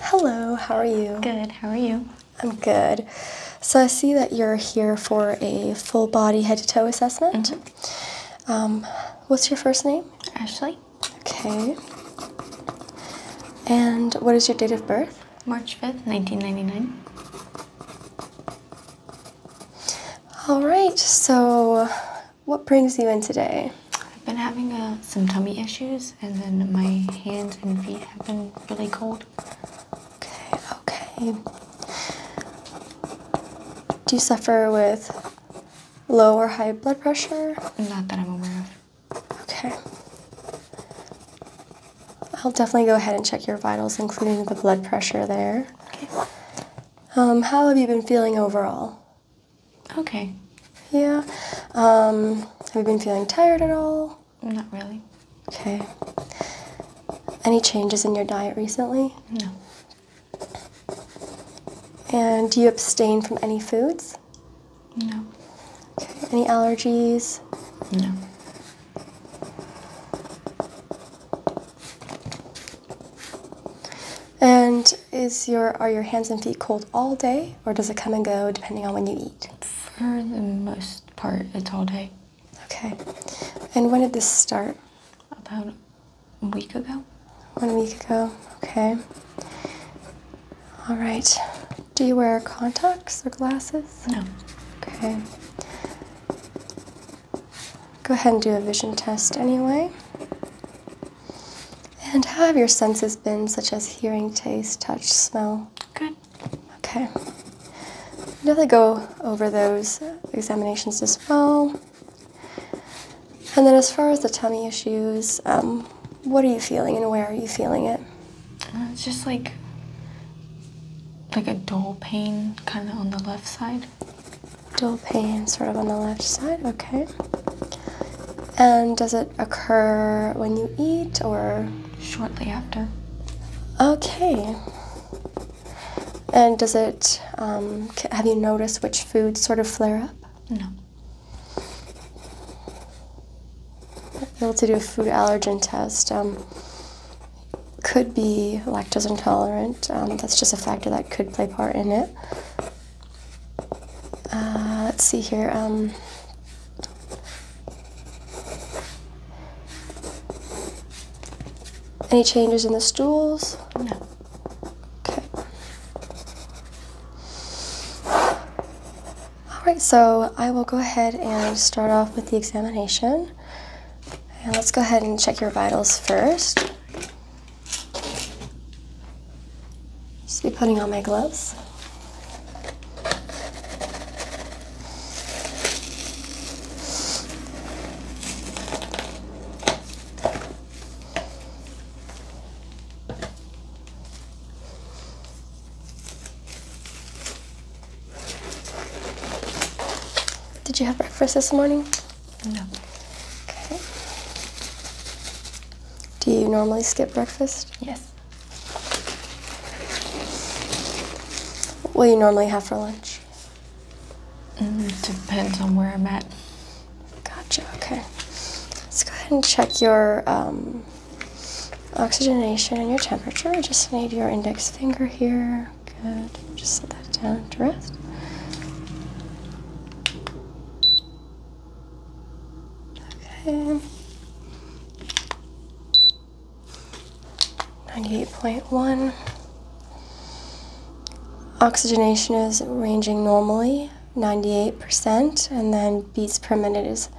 Hello, how are you? Good, how are you? I'm good. So I see that you're here for a full body head to toe assessment. Mm-hmm. Um, what's your first name? Ashley. Okay. And what is your date of birth? March 5th, 1999. All right, so what brings you in today? I've been having uh, some tummy issues, and then my hands and feet have been really cold. Okay, okay. Do you suffer with low or high blood pressure? Not that I'm aware of. Okay. I'll definitely go ahead and check your vitals, including the blood pressure there. Okay. Um, how have you been feeling overall? Okay. Yeah. Um, have you been feeling tired at all? Not really. Okay. Any changes in your diet recently? No. And do you abstain from any foods? No. Okay. Any allergies? No. And is your are your hands and feet cold all day, or does it come and go depending on when you eat? For the most part, it's all day. Okay. And when did this start? About a week ago. One week ago. Okay. All right. Do you wear contacts or glasses? No. Okay. Go ahead and do a vision test anyway. And how have your senses been, such as hearing, taste, touch, smell? Good. Okay. We'll go over those examinations as well. And then, as far as the tummy issues, um, what are you feeling, and where are you feeling it? Uh, it's just like like a dull pain, kind of on the left side. Dull pain, sort of on the left side. Okay. And does it occur when you eat or? Shortly after. Okay. And does it, um, have you noticed which foods sort of flare up? No. Able to do a food allergen test. Um, could be lactose intolerant. Um, that's just a factor that could play part in it. Uh, let's see here. Um, any changes in the stools? No. Okay. All right, so I will go ahead and start off with the examination. And let's go ahead and check your vitals first. Just be putting on my gloves. Did you have breakfast this morning? No. Okay. Do you normally skip breakfast? Yes. What do you normally have for lunch? Mm, depends on where I'm at. Gotcha, okay. Let's go ahead and check your um, oxygenation and your temperature. I just need your index finger here. Good. Just set that down to rest. Okay. 98.1. Oxygenation is ranging normally, 98%, and then beats per minute is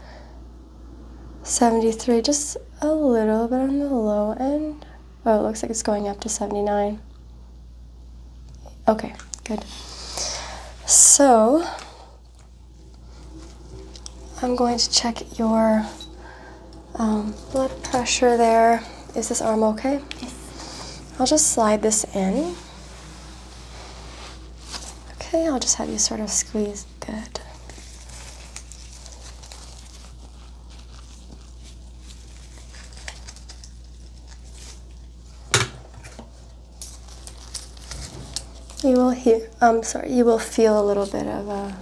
73, just a little bit on the low end. Oh, it looks like it's going up to 79. Okay, good. So, I'm going to check your um, blood pressure there. Is this arm okay? I'll just slide this in. Okay, I'll just have you sort of squeeze. Good. You will hear, I'm um, sorry, you will feel a little bit of a,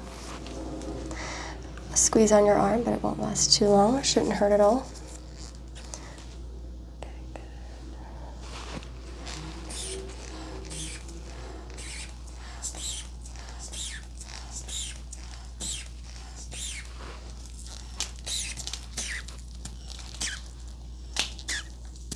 squeeze on your arm, but it won't last too long. shouldn't hurt at all.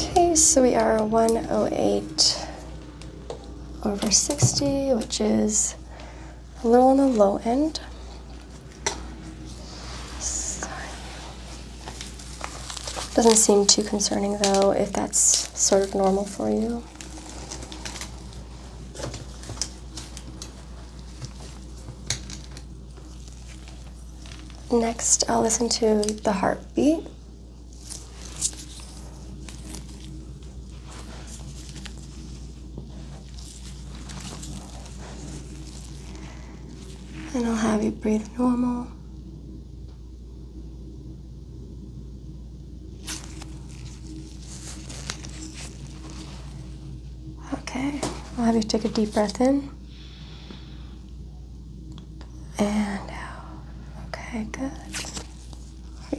Okay, so we are 108 over 60, which is a little on the low end. Doesn't seem too concerning though, if that's sort of normal for you. Next, I'll listen to the heartbeat. And I'll have you breathe normal. Okay, I'll have you take a deep breath in and out. Okay, good.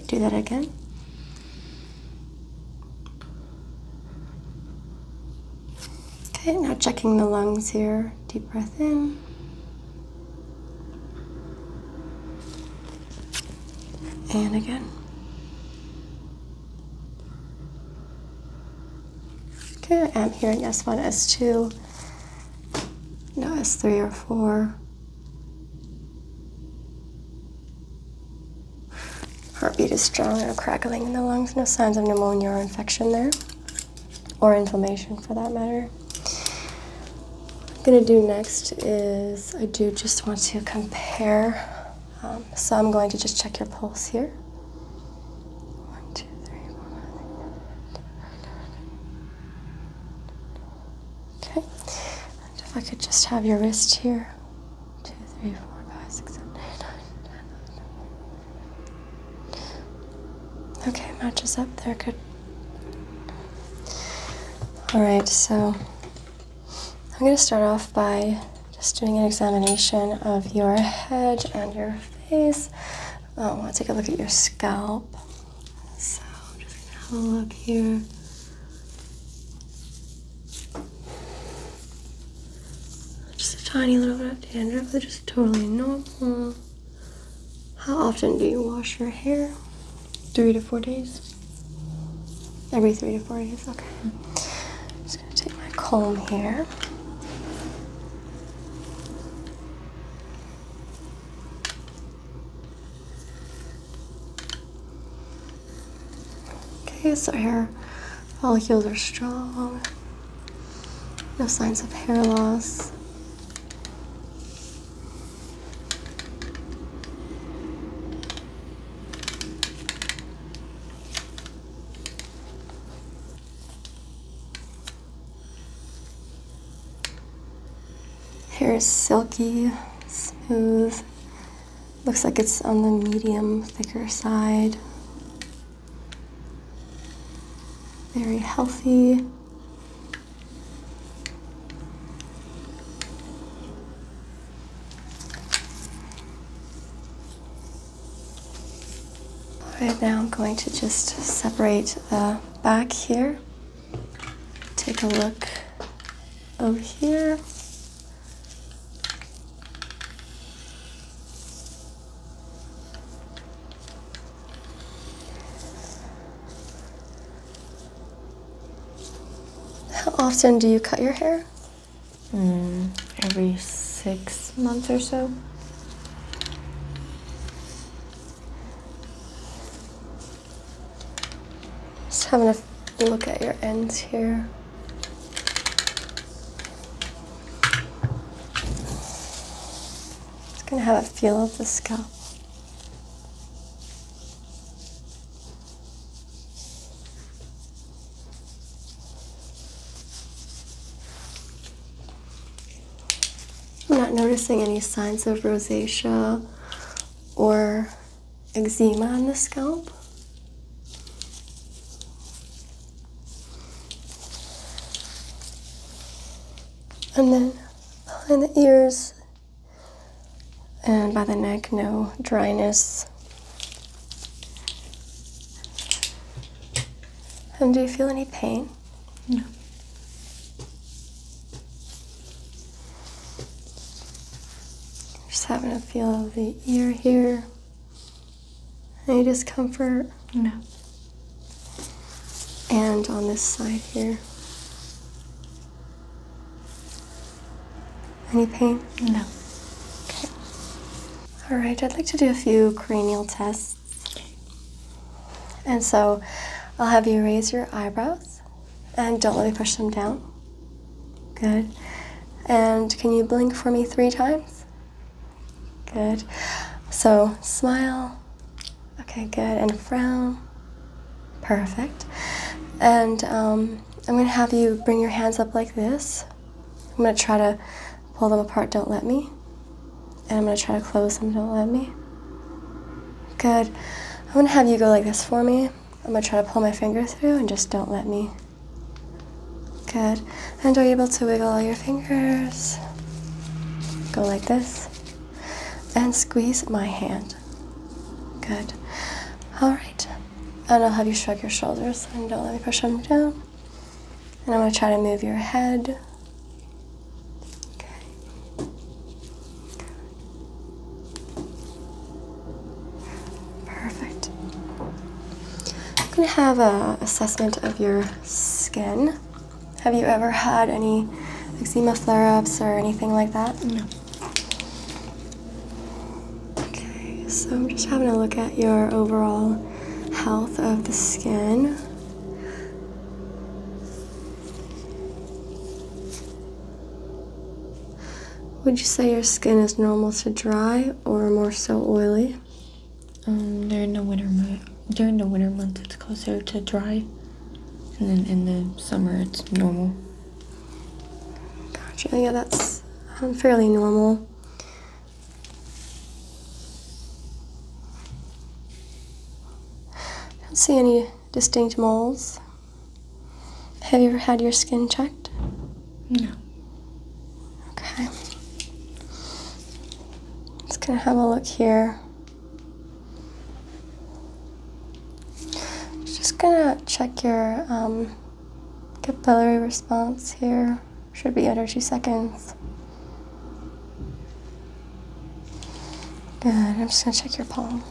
do that again. Okay, now checking the lungs here. Deep breath in. And again. Okay, I am hearing S1, S2, no S3 or 4. Heartbeat is strong, no crackling in the lungs, no signs of pneumonia or infection there, or inflammation for that matter. I'm gonna do next is I do just want to compare um, so I'm going to just check your pulse here. One, two, three, four, five, six, seven, eight, nine, ten. Okay. if I could just have your wrist here. Two, three, four, five, six, seven, eight, nine, ten. Okay, matches up there. Good. All right, so I'm going to start off by just doing an examination of your head and your face. I want to take a look at your scalp. So I'm just gonna have a look here. Just a tiny little red of dandruff, which is totally normal. How often do you wash your hair? Three to four days. Every three to four days, okay take my comb here. Okay, so hair follicles are strong. No signs of hair loss. Hair is silky, smooth, looks like it's on the medium thicker side. Very healthy. Right now I'm going to just separate the back here. Take a look over here. How often do you cut your hair? mm, every six months or so. Just having a look at your ends here. Just gonna have a feel of the scalp. I'm not noticing any signs of rosacea or eczema on the scalp. And then behind the ears and by the neck, no dryness. And do you feel any pain? No. Just having a feel of the ear here. Any discomfort? No. And on this side here. Any pain? No. Okay. All right, I'd like to do a few cranial tests. And so I'll have you raise your eyebrows and don't let me push them down. Good. And can you blink for me three times? Good. So smile. Okay, good. And frown. Perfect. And um, I'm going to have you bring your hands up like this. I'm going to try to pull them apart, don't let me. And I'm gonna try to close them, don't let me. Good. I'm gonna have you go like this for me. I'm gonna try to pull my finger through and just don't let me. Good. And are you able to wiggle all your fingers? Go like this. And squeeze my hand. Good. All right. And I'll have you shrug your shoulders and don't let me push them down. And I'm going to try to move your head. Perfect. I'm going to have an assessment of your skin. Have you ever had any eczema flare-ups or anything like that? No. Okay, so I'm just having a look at your overall health of the skin. Would you say your skin is normal to dry or more so oily? Um, during the winter month, during the winter month, it's closer to dry, and then in the summer, it's normal. Yeah, that's um, fairly normal. I don't see any distinct moles. Have you ever had your skin checked? No. Okay. Just gonna have a look here. Just gonna check your um, capillary response here should be under two seconds. Good, I'm just gonna check your palm.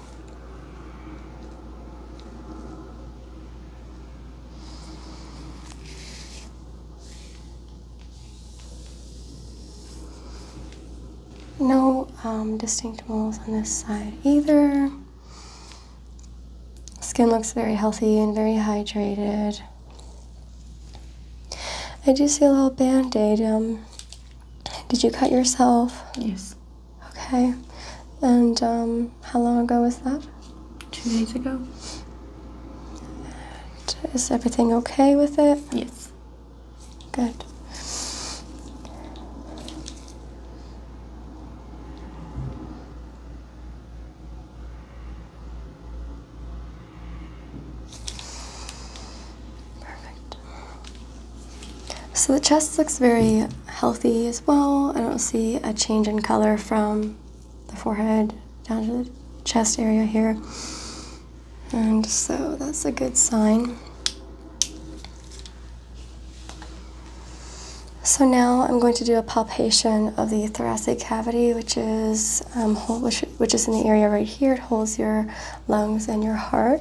No um, distinct moles on this side either. Skin looks very healthy and very hydrated. I do see a little band aid. Um, did you cut yourself? Yes. Okay. And um, how long ago was that? Two days ago. is everything okay with it? Yes. Good. Perfect. So the chest looks very healthy as well. I don't see a change in color from the forehead down to the chest area here. And so that's a good sign. So now I'm going to do a palpation of the thoracic cavity, which is um, which, is in the area right here. It holds your lungs and your heart.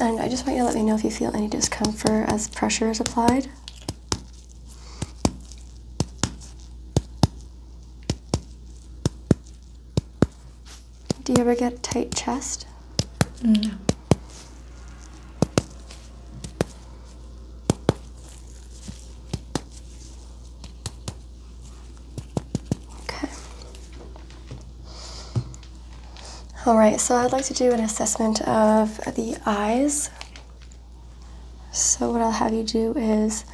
And I just want you to let me know if you feel any discomfort as pressure is applied. Do you ever get a tight chest? No. Okay. All right, so I'd like to do an assessment of the eyes. So, what I'll have you do is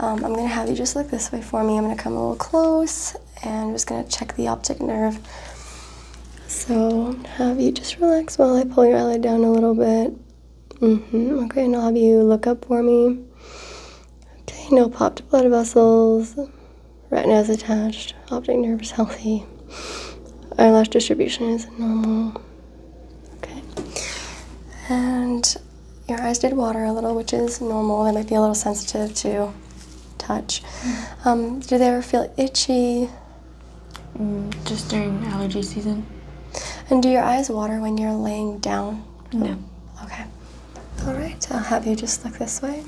um, I'm going to have you just look this way for me. I'm going to come a little close and just going to check the optic nerve. So, have you just relax while I pull your eyelid down a little bit. Okay, and I'll have you look up for me. Okay, no popped blood vessels. Retina is attached. Optic nerve is healthy. Eyelash distribution is normal. Okay. And your eyes did water a little, which is normal. They might be a little sensitive to touch. Mm-hmm. Um, do they ever feel itchy? Mm, just during allergy season. And do your eyes water when you're laying down? No. Okay. All right, I'll have you just look this way.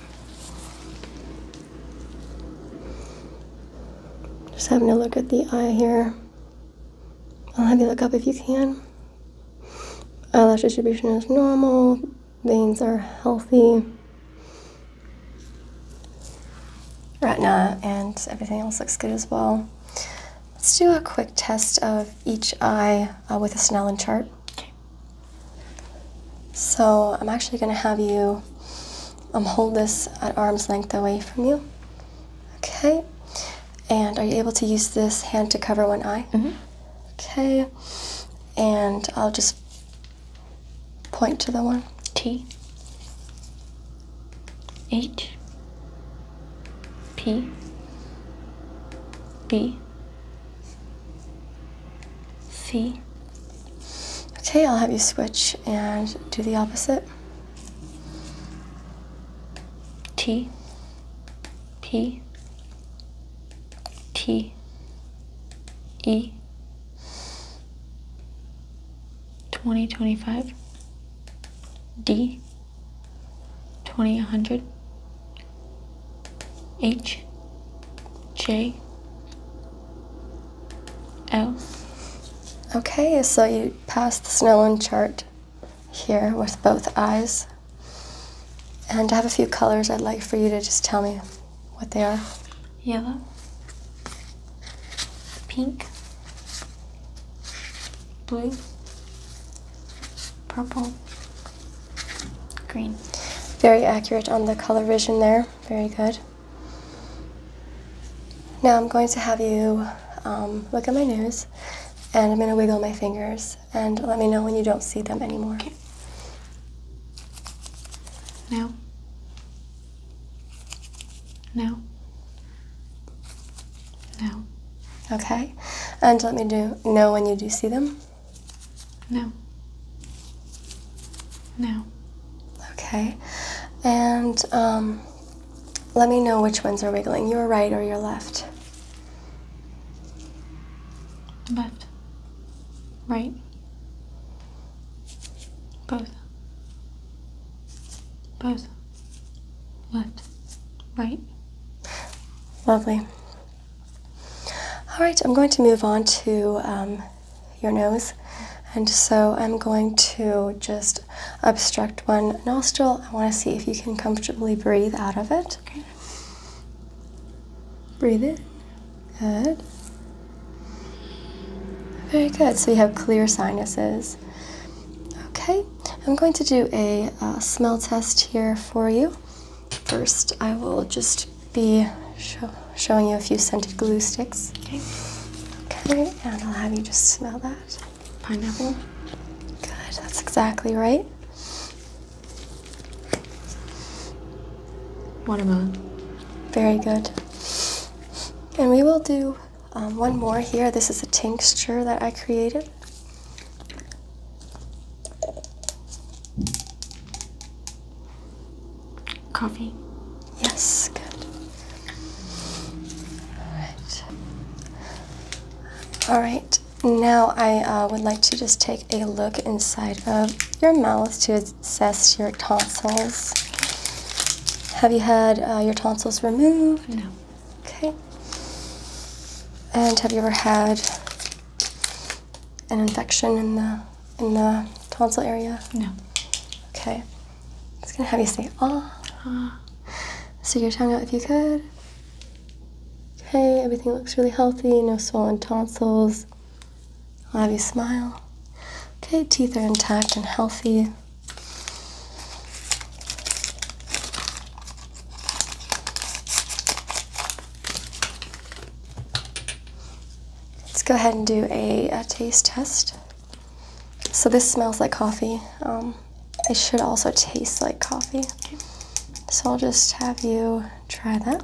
Just having a look at the eye here. I'll have you look up if you can. Eyelash distribution is normal. Veins are healthy. Retina and everything else looks good as well. Let's do a quick test of each eye uh, with a Snellen chart. Okay. So I'm actually going to have you um, hold this at arm's length away from you. Okay. And are you able to use this hand to cover one eye? Mm -hmm. Okay. And I'll just point to the one. T. H P B C. Okay, I'll have you switch and do the opposite. T P T E 2025 D twenty, hundred, H, J, L. Okay, so you passed the Snellen chart here with both eyes. And I have a few colors I'd like for you to just tell me what they are. Yellow, pink, blue, purple, green. Very accurate on the color vision there. Very good. Now I'm going to have you um, look at my nose and I'm going to wiggle my fingers and let me know when you don't see them anymore. Okay. Now. No. No. Okay. And let me do know when you do see them. No. No. Okay. And um, let me know which ones are wiggling, your right or your left. Left. Right. Both. Both. What? Right? Lovely. All right, I'm going to move on to um, your nose. And so I'm going to just obstruct one nostril. I want to see if you can comfortably breathe out of it. Okay. Breathe in. Good. Very good. So you have clear sinuses. Okay, I'm going to do a uh, smell test here for you. First, I will just be showing you a few scented glue sticks. Okay. Okay, and I'll have you just smell that. Pineapple. Good, that's exactly right. Watermelon. Very good. And we will do um, one more here. This is a tincture that I created. Coffee. Yes, good. All right. All right. Now I uh, would like to just take a look inside of your mouth to assess your tonsils. Have you had uh, your tonsils removed? No. Okay. And have you ever had an infection in the in the tonsil area? No. Okay. It's gonna have you say ah. ah. Stick your tongue out if you could. Okay, everything looks really healthy, no swollen tonsils. I'll have you smile. Okay, teeth are intact and healthy. Let's go ahead and do a, taste test. So this smells like coffee. Um, it should also taste like coffee. So I'll just have you try that.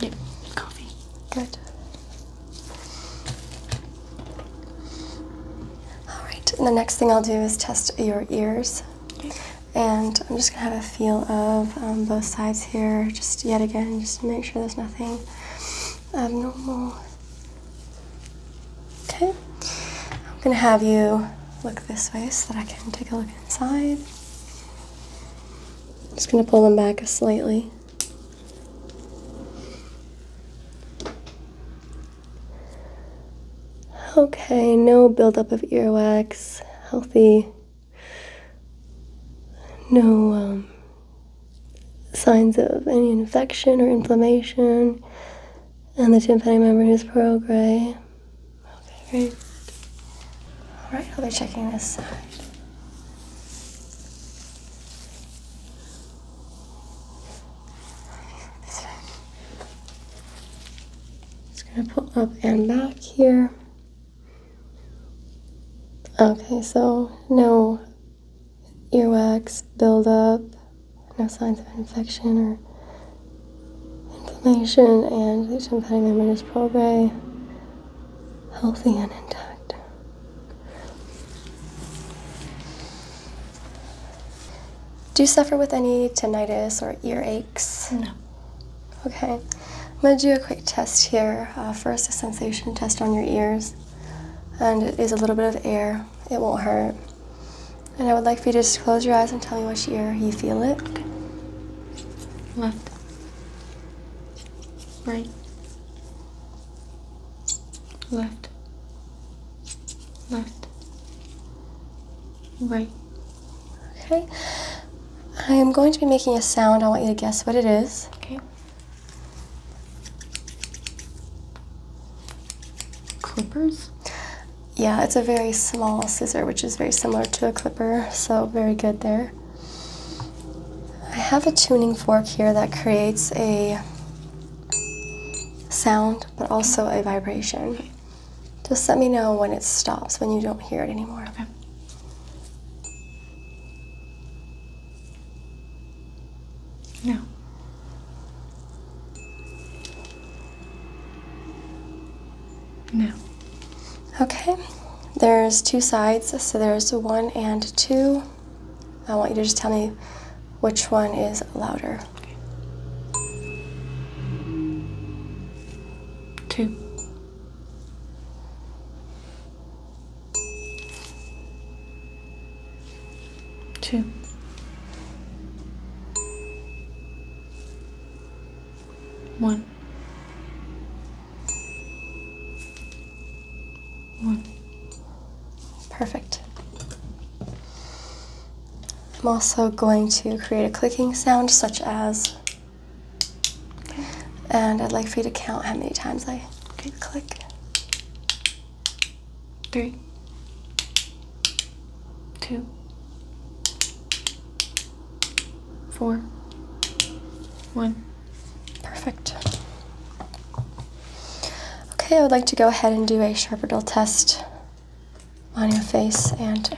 Yep, coffee. Good. All right, and the next thing I'll do is test your ears. And I'm just gonna have a feel of um, both sides here, just yet again, just to make sure there's nothing abnormal. Okay, I'm gonna have you look this way so that I can take a look inside. just gonna pull them back slightly. Okay, no buildup of earwax, healthy, no um, signs of any infection or inflammation, and the tympanic membrane is pearl gray. Okay, very All right, I'll be checking this side. This Just gonna pull up and back here. Okay, so no earwax buildup, no signs of infection or inflammation, and the tympanic membrane is prograde, healthy and intact. Do you suffer with any tinnitus or ear aches? No. Okay. I'm going to do a quick test here. Uh, first, a sensation test on your ears. And it is a little bit of air. It won't hurt. And I would like for you to just close your eyes and tell me which ear you feel it. Okay. Left. Right. Left left, right. Okay. I am going to be making a sound. I want you to guess what it is. Okay. Clippers? Yeah, it's a very small scissor, which is very similar to a clipper, so very good there. I have a tuning fork here that creates a sound, but also a vibration. Just let me know when it stops, when you don't hear it anymore. Okay. No. No. Okay. There's two sides, so there's one and two. I want you to just tell me which one is louder? Two. Two. One. One. Perfect. I'm also going to create a clicking sound such as, and I'd like for you to count how many times I click. Three, two, four, one. Perfect. Okay, I would like to go ahead and do a sharp test on your face and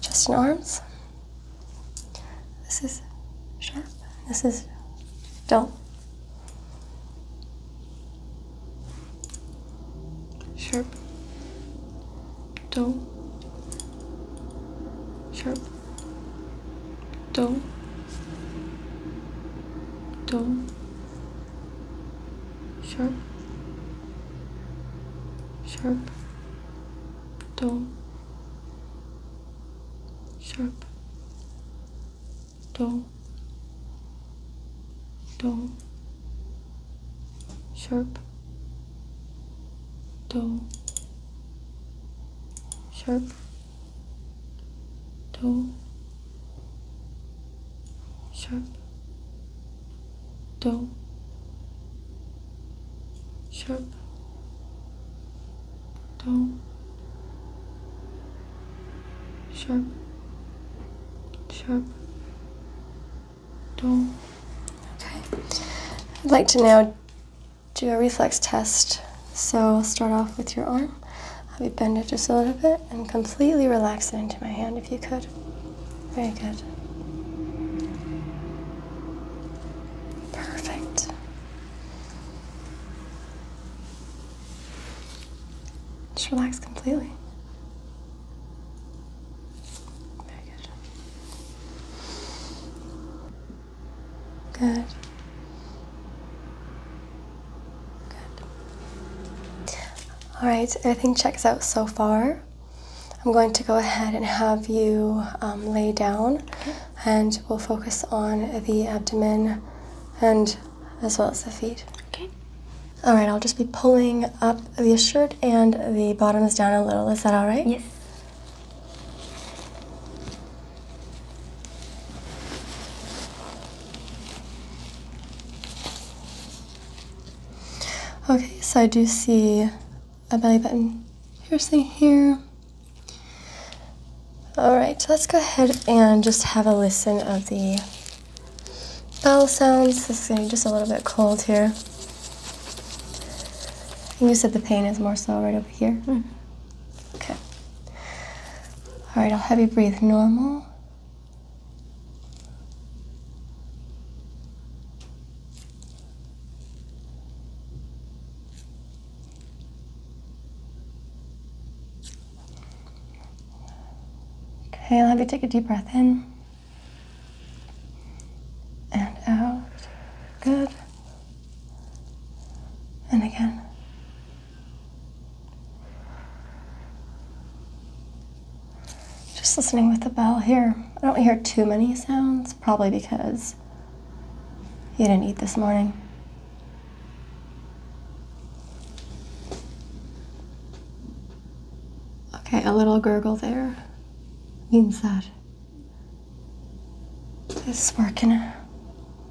chest and arms. This is sharp, this is dull. Sharp, dull, sharp, dull, dull, sharp sharp dull sharp dull dull sharp dull sharp dull sharp, dull, sharp, dull, sharp, sharp, dull. Okay. I'd like to now do a reflex test. So start off with your arm. Have bend it just a little bit? and completely relax it into my hand if you could. Very good. Perfect. Just relax completely. Very good. Good. Good. Alright, everything checks out so far. I'm going to go ahead and have you um, lay down and we'll focus on the abdomen and as well as the feet. Okay. Alright, I'll just be pulling up the shirt and the bottoms down a little. Is that alright? Yes. Okay, so I do see a belly button piercing here. All right, let's go ahead and just have a listen of the bell sounds. This is getting just a little bit cold here. you said the pain is more so right over here? Mm-hmm. Okay. All right, I'll have you breathe normal. Okay, I'll have you take a deep breath in and out. Good. And again. Just listening with the bell here. I don't hear too many sounds, probably because you didn't eat this morning. Okay, a little gurgle there means that he's working,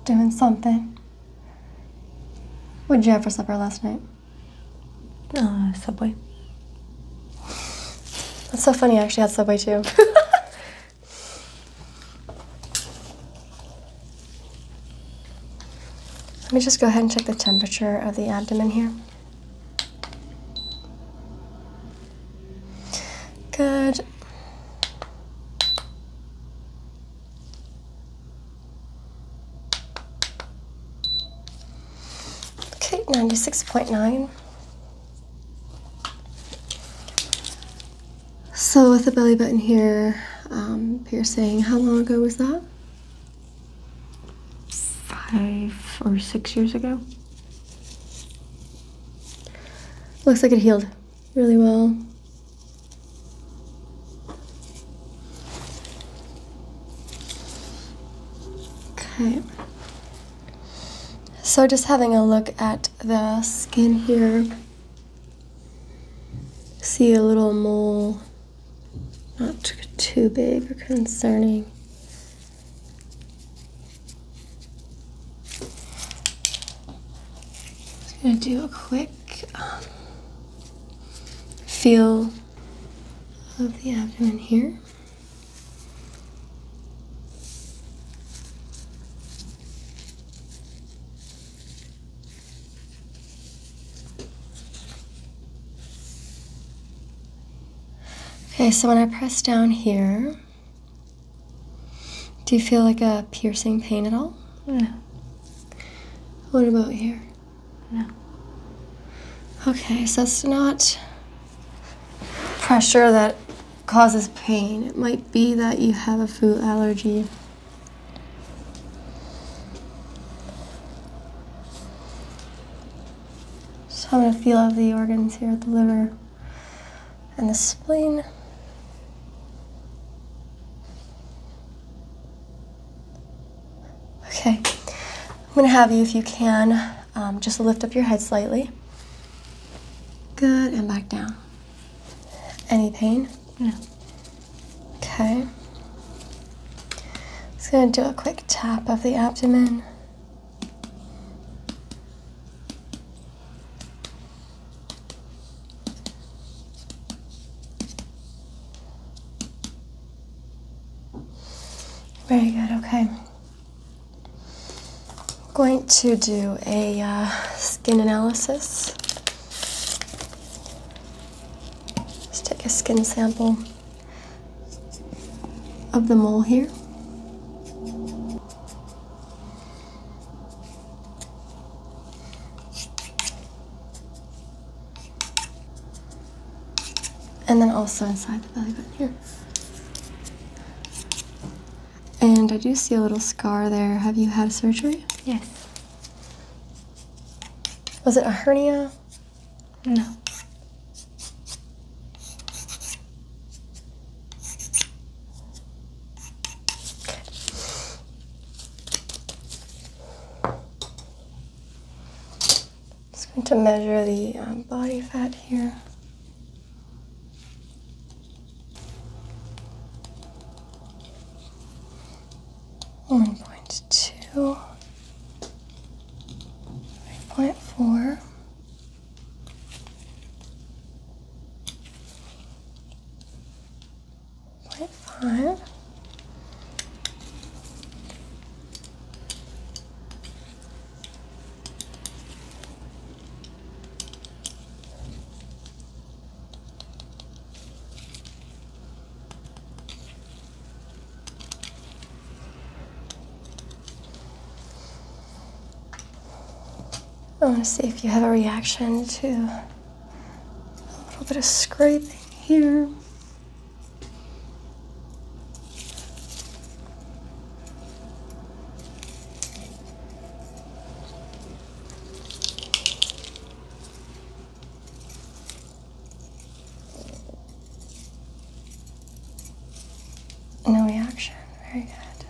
doing something. What'd you have for supper last night? Uh, Subway. That's so funny. I actually had Subway too. Let me just go ahead and check the temperature of the abdomen here. Good. Okay, 96.9. So with the belly button here, um, piercing, how long ago was that? Five or six years ago. Looks like it healed really well. Okay. So just having a look at the skin here. See a little mole. Not too big or concerning. Just gonna do a quick um, feel of the abdomen here. Okay, so when I press down here, do you feel like a piercing pain at all? No. What about here? No. Okay, so it's not pressure that causes pain. It might be that you have a food allergy. So I'm going to feel of the organs here, the liver and the spleen. Okay, I'm gonna have you, if you can, um, just lift up your head slightly. Good, and back down. Any pain? No. Okay. Just gonna do a quick tap of the abdomen. Very good, okay. I'm going to do a uh, skin analysis. Let's take a skin sample of the mole here. And then also inside the belly button here. And I do see a little scar there. Have you had surgery? Yes. Was it a hernia? No. Just going to measure the um, body fat here. One point two, three point four, point five. I want to see if you have a reaction to a little bit of scrape here. No reaction. Very good.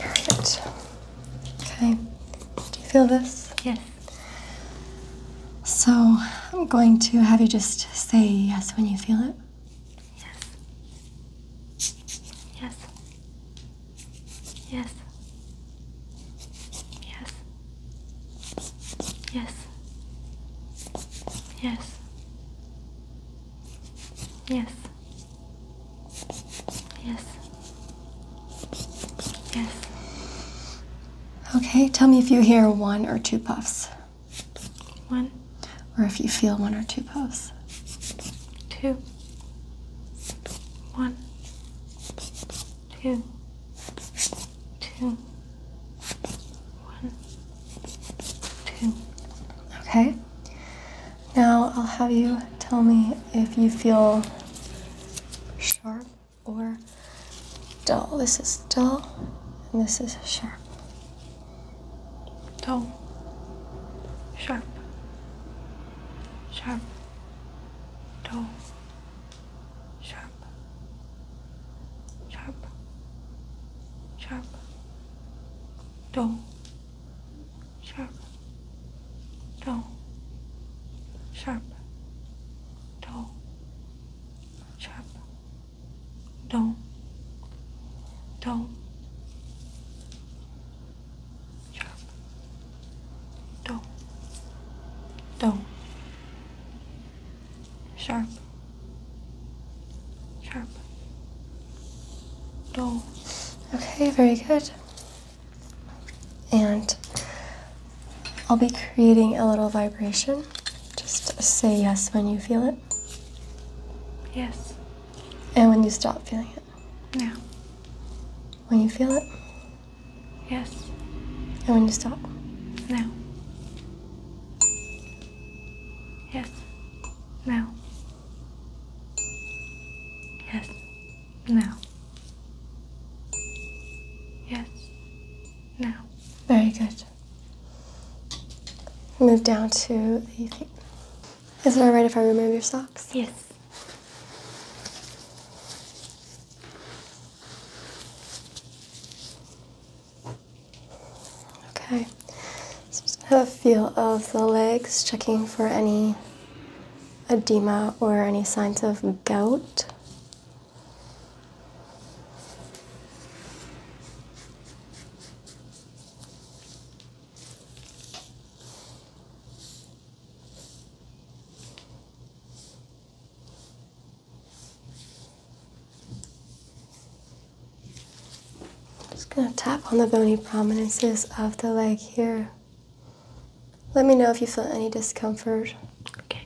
Perfect. Okay. Do you feel this? Yes. So I'm going to have you just say yes when you feel it. Yes. Yes. Yes. Yes. Yes. Yes. Yes. Yes. Yes. Okay, tell me if you hear one or two puffs. One. Or if you feel one or two puffs. Two. One. Two. Two. One. Two. Okay. Now I'll have you tell me if you feel sharp or dull. This is dull, and this is sharp. Dull. Sharp. Sharp. Dull. Sharp. Sharp. Dull sharp, Don't. sharp, Don't. sharp, dull, dull, sharp, Don't. sharp, sharp, Don't. Okay, very good. And I'll be creating a little vibration. Just say yes when you feel it. Yes. And when you stop feeling it. No. When you feel it. Yes. And when you stop. No. Yes. No. Yes. No. Yes. No. Very good. Move down to the Is it alright if I remove your socks? Yes. Okay, so just have a feel of the legs, checking for any edema or any signs of gout. Just going to tap on the bony prominences of the leg here. Let me know if you feel any discomfort. Okay.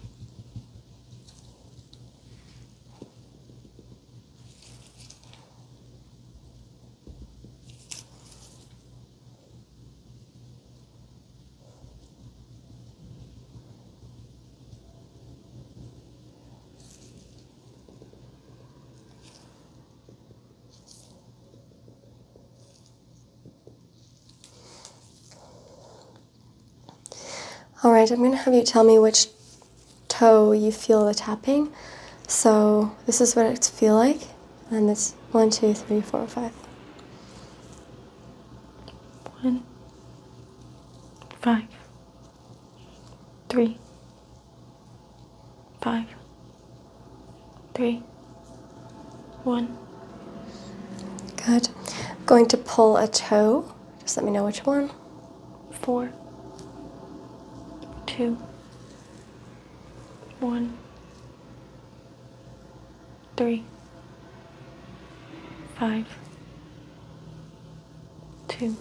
All right, I'm going to have you tell me which toe you feel the tapping. So this is what it feels like, and it's one, two, three, four, five. One, five, three, five, three, one. Good. going to pull a toe. Just let me know which one. Four, two, one, three, five, two,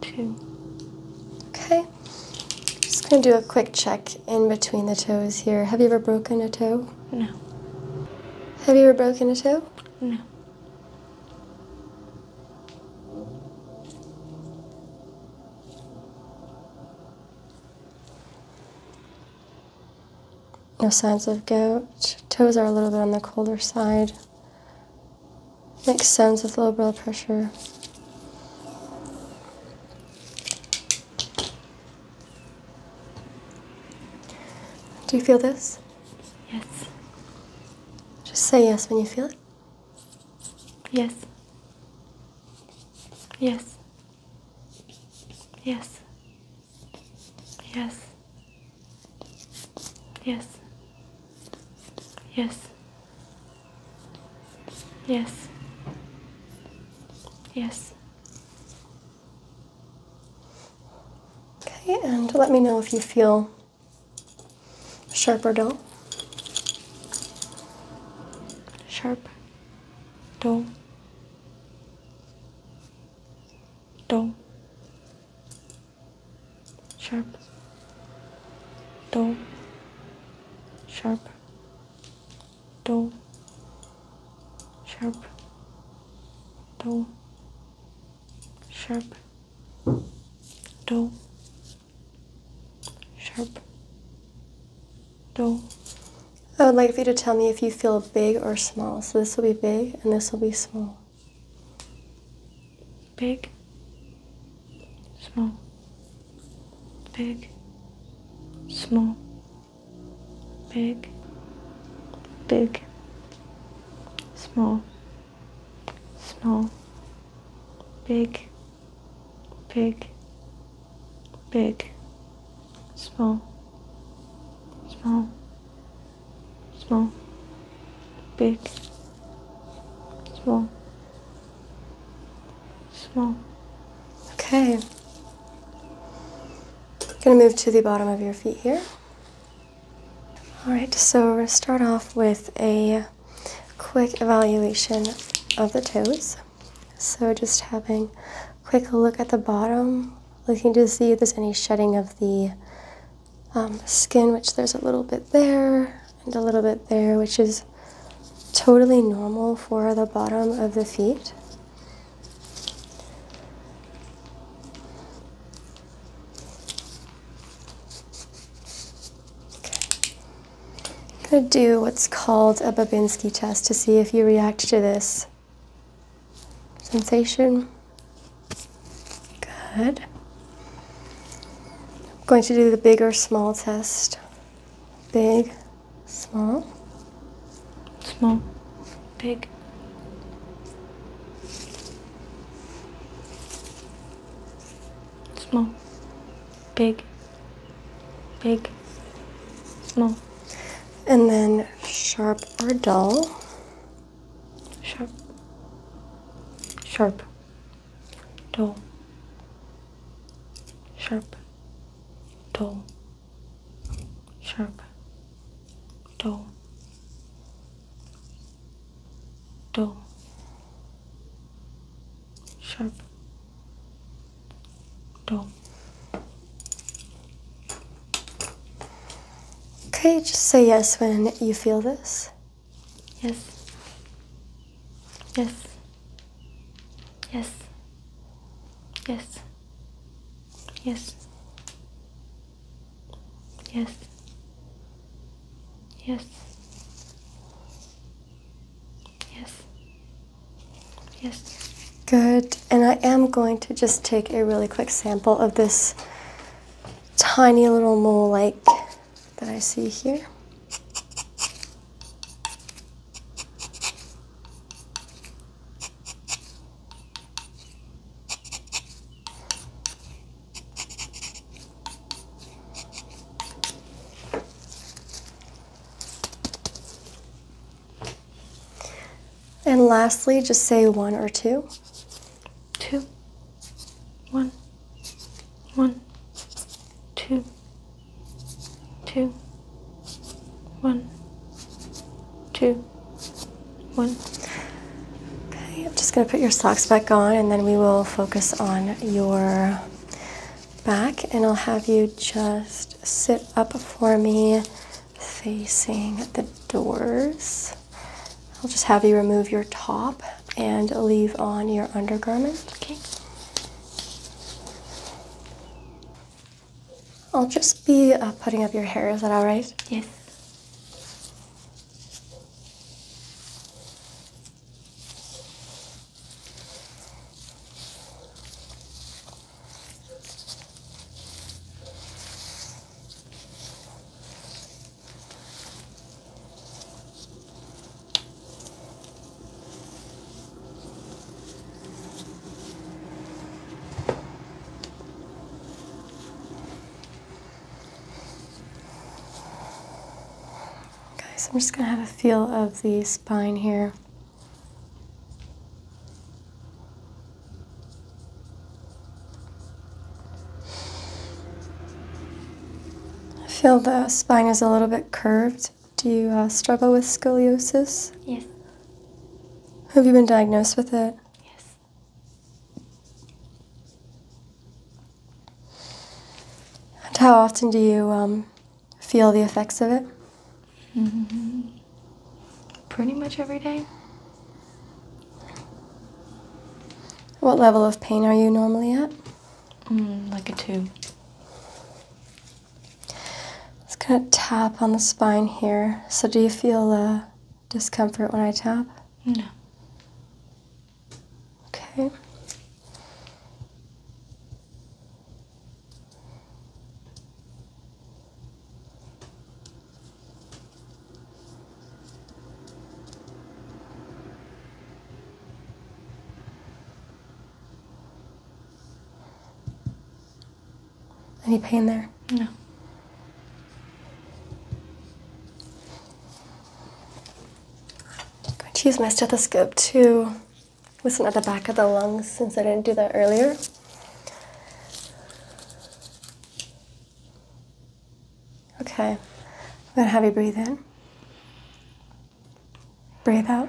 two. Okay. Just gonna do a quick check in between the toes here. Have you ever broken a toe? No. Have you ever broken a toe? No. No signs of gout. Toes are a little bit on the colder side. Makes sense with low blood pressure. Do you feel this? Yes. Just say yes when you feel it. Yes. Yes. Yes. Yes. Yes. Yes. Yes. Yes. Okay, and let me know if you feel sharp or dull. Sharp, dull, dull, sharp, dull, sharp do sharp do sharp do sharp do I would like for you to tell me if you feel big or small. So this will be big and this will be small. Big small, big, small, big, big, small, small, big, big, big, small, small, small, big, small, small. Okay. Gonna move to the bottom of your feet here. All right, so we're gonna start off with a quick evaluation of the toes. So just having a quick look at the bottom, looking to see if there's any shedding of the um, skin, which there's a little bit there and a little bit there, which is totally normal for the bottom of the feet. I'm going to do what's called a Babinski test to see if you react to this sensation. Good. I'm going to do the big or small test. Big small small big small big big small and then sharp or dull sharp sharp dull sharp, dull, sharp, dull, dull, sharp, dull. Okay, just say yes when you feel this. Yes. Yes. Yes. Yes. Yes. Yes. Yes. Yes. Yes. Good. And I am going to just take a really quick sample of this tiny little mole-like that I see here. And lastly, just say one or two, two, one, one, two two, one, two, one. Okay, I'm just going to put your socks back on and then we will focus on your back. And I'll have you just sit up for me facing the doors. I'll just have you remove your top and leave on your undergarment, okay? I'll just be uh, putting up your hair. Is that all right? Yes. Okay, so I'm just going to have a feel of the spine here. I feel the spine is a little bit curved. Do you uh, struggle with scoliosis? Yes. Have you been diagnosed with it? Yes. And how often do you um, feel the effects of it? Mm-hmm. Pretty much every day. What level of pain are you normally at? Mm, like a two. Just gonna tap on the spine here. So, do you feel uh, discomfort when I tap? No. Okay. Any pain there? No. I'm going to use my stethoscope to listen at the back of the lungs since I didn't do that earlier. Okay, I'm going to have you breathe in, breathe out,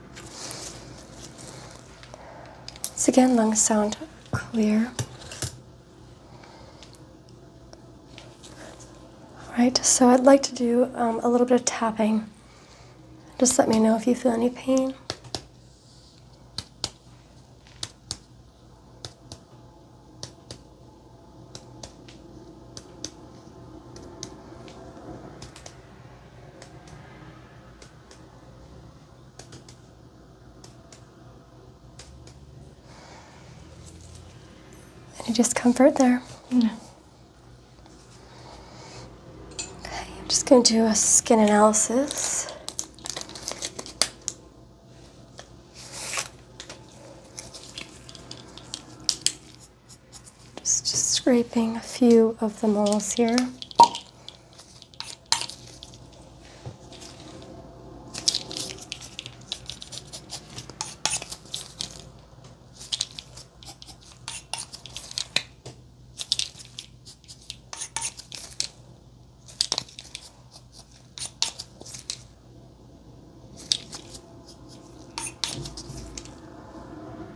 So again, lungs sound clear. Alright, so I'd like to do um, a little bit of tapping. Just let me know if you feel any pain. Any discomfort there? No. Okay, I'm just going to do a skin analysis. Just, scraping a few of the moles here.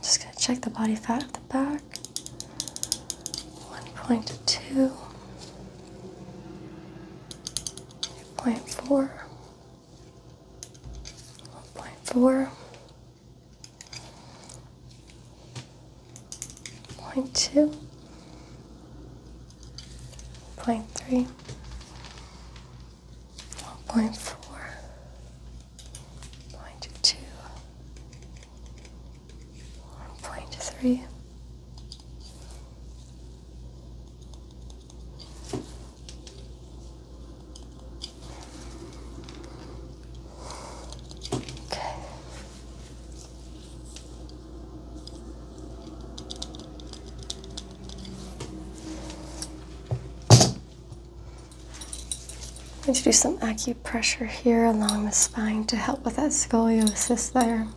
Just going to check the body fat at the back. 1.2 0.4, 0.4, 0.4, 0.2, 0.3, 0.2, 0.3. Okay. I'm going to do some acupressure here along the spine to help with that scoliosis there.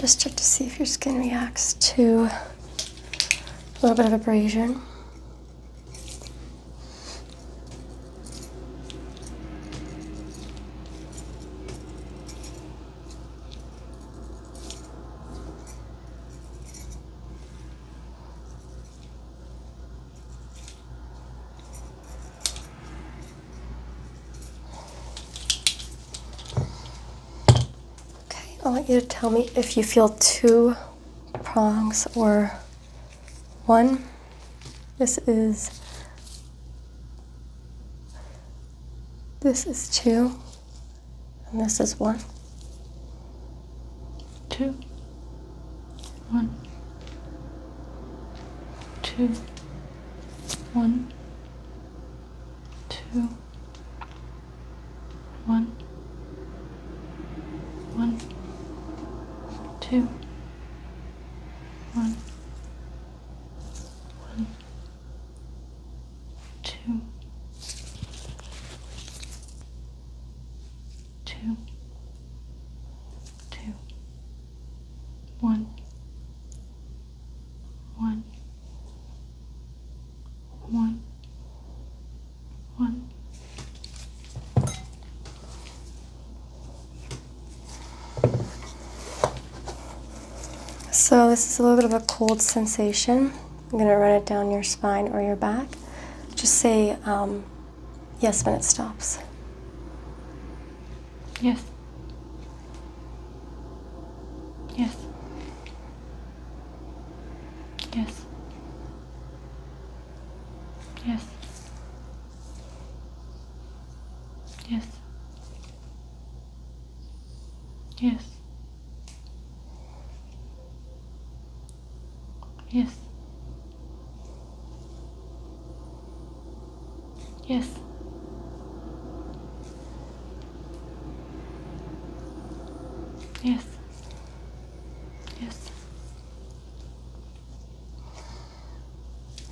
Just check to see if your skin reacts to a little bit of abrasion. Okay, I want you to tell me if you feel two prongs or one. This is this is two and this is one two one two one, two, one, one, two, one, one, two, two, two one, one, one, one. So this is a little bit of a cold sensation. I'm going to run it down your spine or your back. Just say um, yes when it stops. Yes. Yes. Yes. Yes. Yes. Yes. Yes. Yes. Yes. Yes.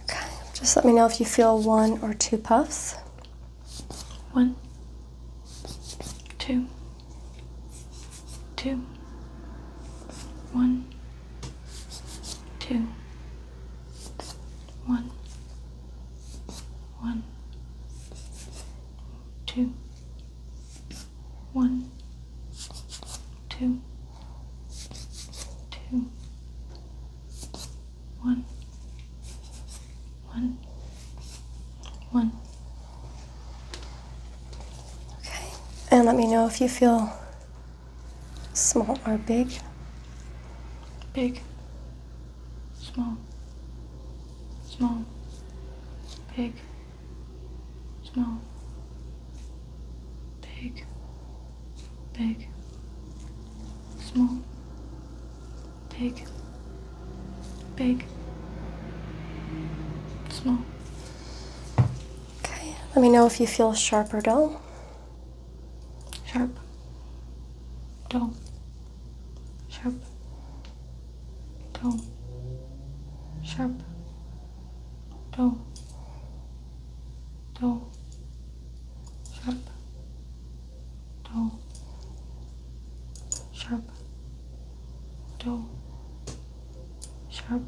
Okay, just let me know if you feel one or two puffs. One, two, two, one, two one, one, two, one, two, two, one, one, one. Okay, and let me know if you feel Small or big? Big. Small. Small. Big. Small. Big. Big. Small. Big. Big. Small. Okay, let me know if you feel sharp or dull sharp, dull, sharp, dull, sharp, dull, dull, sharp, dull, sharp, dull, sharp,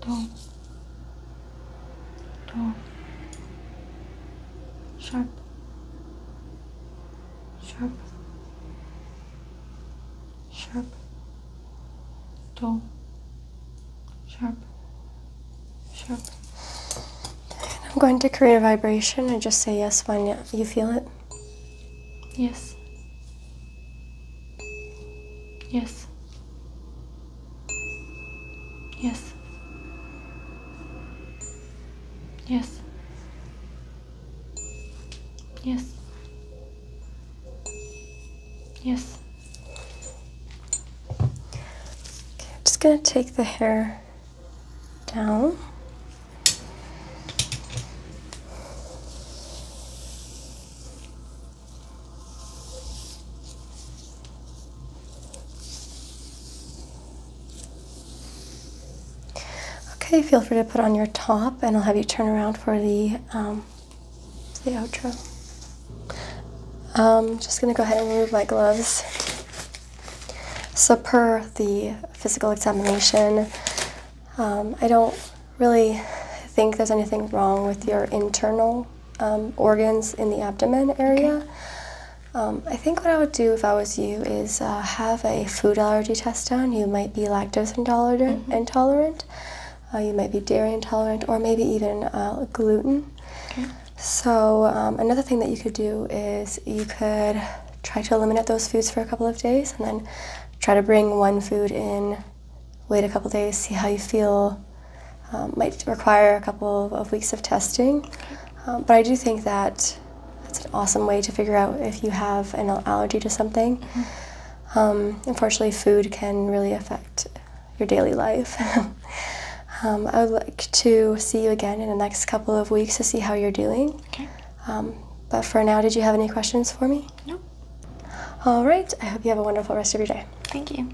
toe, toe, sharp, sharp, sharp, toe, sharp, sharp. I'm going to create a vibration and just say yes when you feel it. Yes. Yes. Yes. Yes. Yes. Yes. just going to take the hair down. Okay, feel free to put on your top, and I'll have you turn around for the um, the outro. Um, just gonna go ahead and remove my gloves. So per the physical examination, um, I don't really think there's anything wrong with your internal um, organs in the abdomen area. Um, I think what I would do if I was you is uh, have a food allergy test done. You might be lactose mm-hmm. intolerant, intolerant. Uh, you might be dairy intolerant, or maybe even uh, gluten. Okay. So um, another thing that you could do is you could try to eliminate those foods for a couple of days, and then try to bring one food in. Wait a couple days, see how you feel um, might require a couple of weeks of testing. Um, but I do think that that's an awesome way to figure out if you have an allergy to something. Mm-hmm. Um, unfortunately, food can really affect your daily life. I would like to see you again in the next couple of weeks to see how you're doing. Okay. but for now, did you have any questions for me? No. All right. I hope you have a wonderful rest of your day. Thank you.